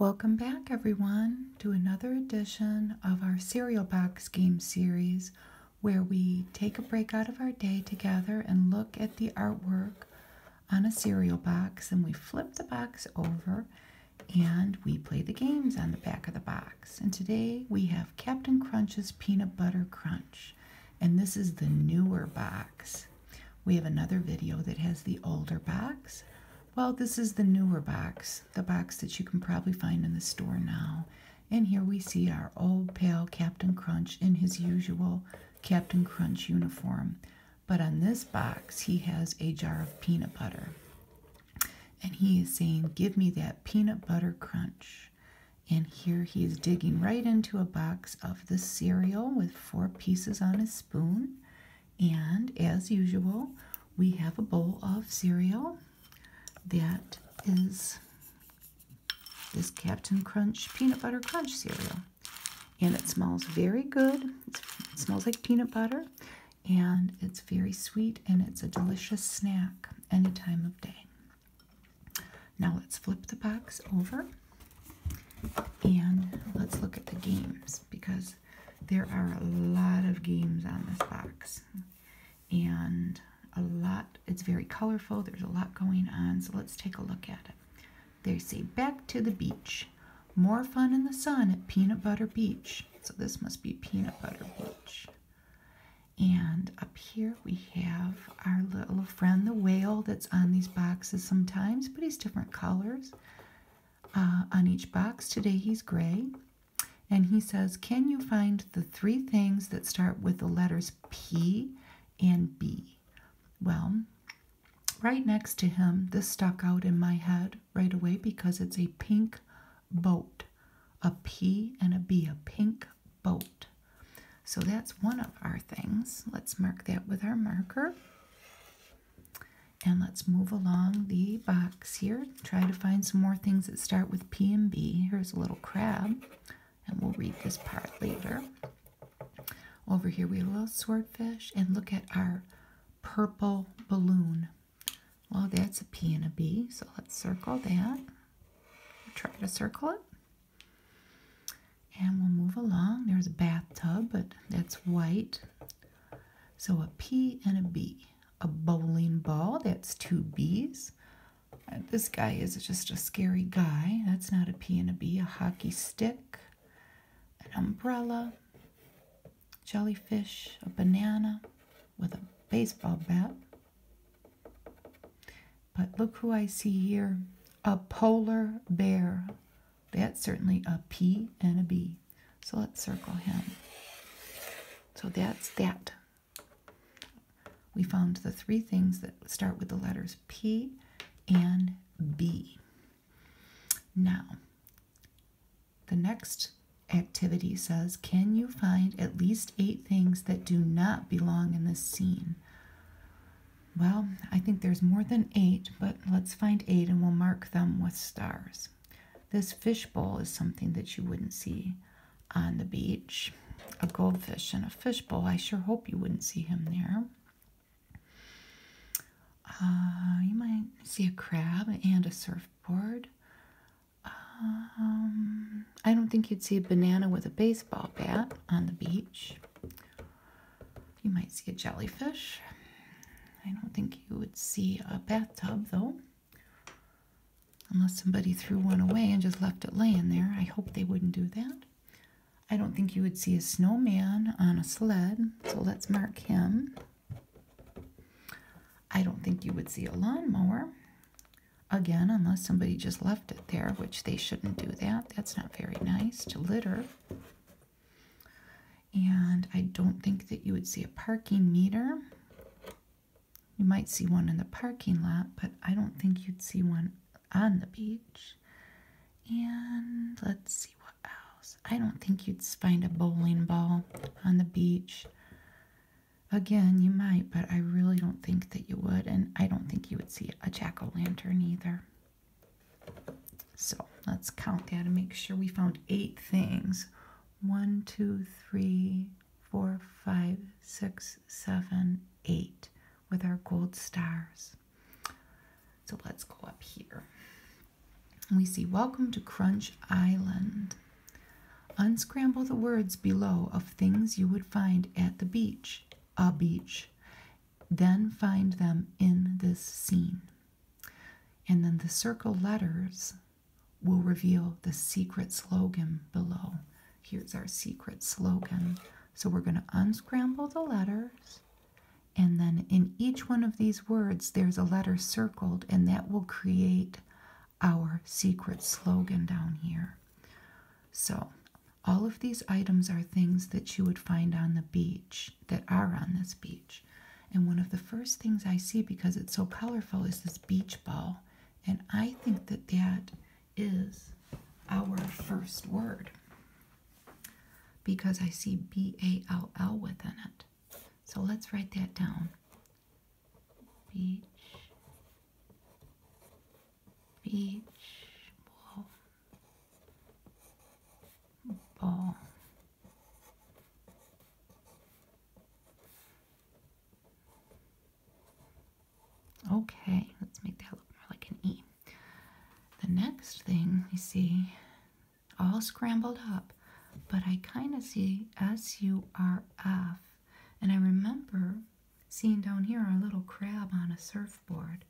Welcome back, everyone, to another edition of our cereal box game series where we take a break out of our day together and look at the artwork on a cereal box. And we flip the box over and we play the games on the back of the box. And today we have Captain Crunch's Peanut Butter Crunch. And this is the newer box. We have another video that has the older box. Well, this is the newer box, the box that you can probably find in the store now. And here we see our old pal Captain Crunch in his usual Captain Crunch uniform. But on this box, he has a jar of peanut butter. And he is saying, Give me that peanut butter crunch. And here he is digging right into a box of the cereal with four pieces on a spoon. And as usual, we have a bowl of cereal that is this Captain Crunch peanut butter crunch cereal. And it smells very good. it smells like peanut butter and it's very sweet and it's a delicious snack any time of day. Now let's flip the box over and let's look at the games because there are a lot of games on this box. And a lot, it's very colorful. There's a lot going on. So let's take a look at it. They say, back to the beach. More fun in the sun at Peanut Butter Beach. So this must be Peanut Butter Beach. And up here we have our little friend, the whale, that's on these boxes sometimes, but he's different colors. Uh, on each box. Today he's gray. And he says, Can you find the three things that start with the letters P and B? Well, right next to him, this stuck out in my head right away because it's a pink boat. A P and a B, a pink boat. So that's one of our things. Let's mark that with our marker. And let's move along the box here. Try to find some more things that start with P and B. Here's a little crab, and we'll read this part later. Over here we have a little swordfish, and look at our purple balloon. Well, that's a P and a B, so let's circle that. Try to circle it. And we'll move along. There's a bathtub, but that's white. So a P and a B. A bowling ball, that's two B's. Uh, this guy is just a scary guy. That's not a P and a B. A hockey stick, an umbrella, jellyfish, a banana with a baseball bat. But look who I see here a polar bear. That's certainly a P and a B. So let's circle him. So that's that. We found the three things that start with the letters P and B. Now, the next activity says, can you find at least eight things that do not belong in this scene? Well, I think there's more than eight, but let's find 8 and we'll mark them with stars. This fishbowl is something that you wouldn't see on the beach. A goldfish in a fishbowl. I sure hope you wouldn't see him there. Uh, you might see a crab and a surfboard. Um, I don't think you'd see a banana with a baseball bat on the beach. You might see a jellyfish. I don't think you would see a bathtub though. Unless somebody threw one away and just left it laying there. I hope they wouldn't do that. I don't think you would see a snowman on a sled, so let's mark him. I don't think you would see a lawnmower. Again, unless somebody just left it there, which they shouldn't do that. That's not very nice to litter. And I don't think that you would see a parking meter. You might see one in the parking lot, but I don't think you'd see one on the beach. And let's see what else. I don't think you'd find a bowling ball on the beach. Again, you might, but I really don't think that you would. And I don't think you would see a jack o' lantern either. So let's count that and make sure we found eight things. One, two, three, four, five, six, seven, eight with our gold stars. So let's go up here. We see Welcome to Crunch Island. Unscramble the words below of things you would find at the beach, a beach, then find them in this scene. And then the circle letters will reveal the secret slogan below. Here's our secret slogan. So we're going to unscramble the letters. And then in each one of these words, there's a letter circled, and that will create our secret slogan down here. So, all of these items are things that you would find on the beach, that are on this beach. And one of the first things I see because it's so colorful is this beach ball. And I think that that is our first word because I see B A L L within it. So let's write that down. Beach, beach, ball, ball. Okay, let's make that look more like an E. The next thing you see, all scrambled up, but I kind of see S-U-R-F. And I remember seeing down here a little crab on a surfboard.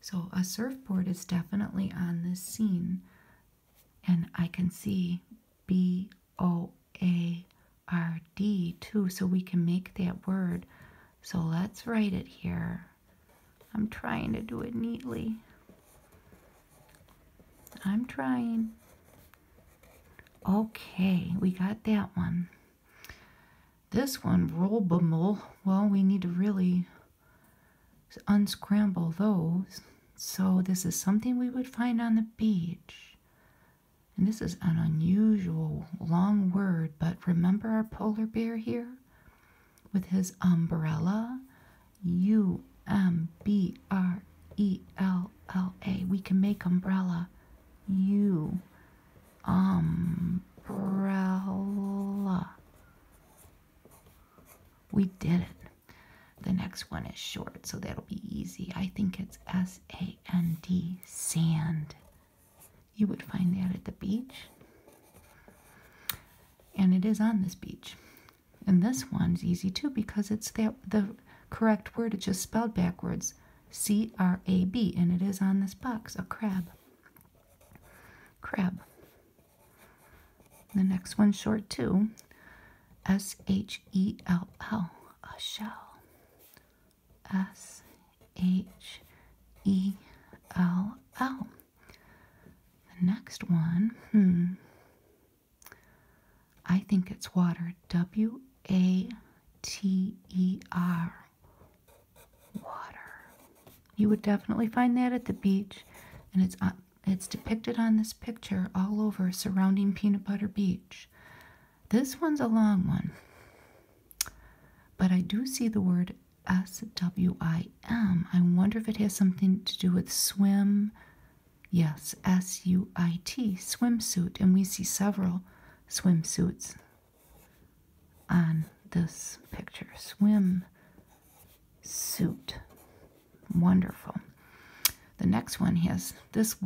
So a surfboard is definitely on this scene. And I can see B O A R D too, so we can make that word. So let's write it here. I'm trying to do it neatly. I'm trying. Okay, we got that one. This one, roll bumble. Well, we need to really unscramble those. So, this is something we would find on the beach. And this is an unusual long word, but remember our polar bear here with his umbrella? U M B R E L L A. We can make umbrella. U umbrella. We did it. The next one is short, so that'll be easy. I think it's S A N D, sand. You would find that at the beach. And it is on this beach. And this one's easy too because it's that the correct word, it's just spelled backwards C R A B, and it is on this box a crab. Crab. The next one short too. S H E L L, a shell. S H E L L. The next one, hmm. I think it's water. W A T E R. Water. You would definitely find that at the beach, and it's uh, it's depicted on this picture all over surrounding Peanut Butter Beach. This one's a long one, but I do see the word S-W-I-M. I wonder if it has something to do with swim. Yes, S-U-I-T, swimsuit, and we see several swimsuits on this picture. Swim suit. Wonderful. The next one has, this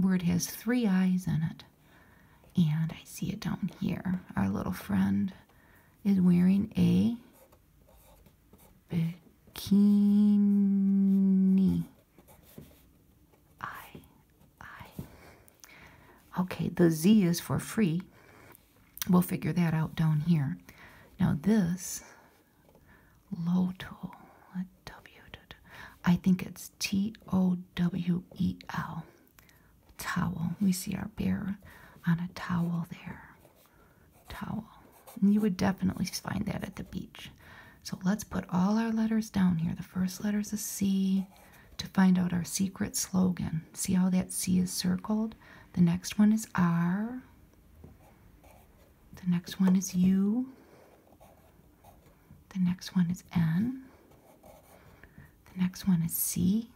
word has three eyes in it. And I see it down here. Our little friend is wearing a bikini. I, I. Okay, the Z is for free. We'll figure that out down here. Now this Loto W I think it's T O W E L towel. We see our bear on a towel there. Towel. you would definitely find that at the beach. So let's put all our letters down here. The first letter is a C to find out our secret slogan. See how that C is circled? The next one is R. The next one is U. The next one is N. The next one is C.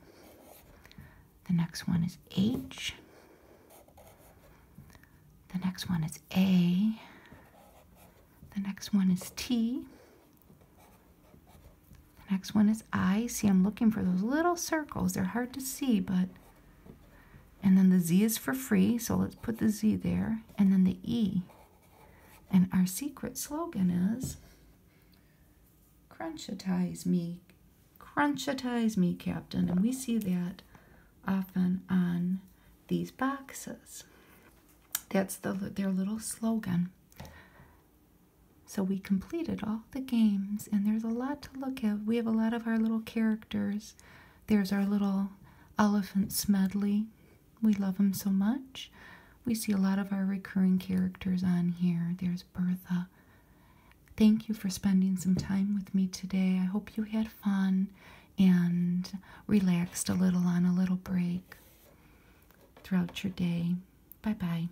The next one is H. The next one is A. The next one is T. The next one is I. See, I'm looking for those little circles. They're hard to see, but and then the Z is for free, so let's put the Z there. And then the E. And our secret slogan is Crunchitize me. Crunchitize me, Captain. And we see that often on these boxes. That's their little slogan. So we completed all the games, and there's a lot to look at. We have a lot of our little characters. There's our little elephant Smedley. We love him so much. We see a lot of our recurring characters on here. There's Bertha. Thank you for spending some time with me today. I hope you had fun and relaxed a little on a little break throughout your day. Bye bye.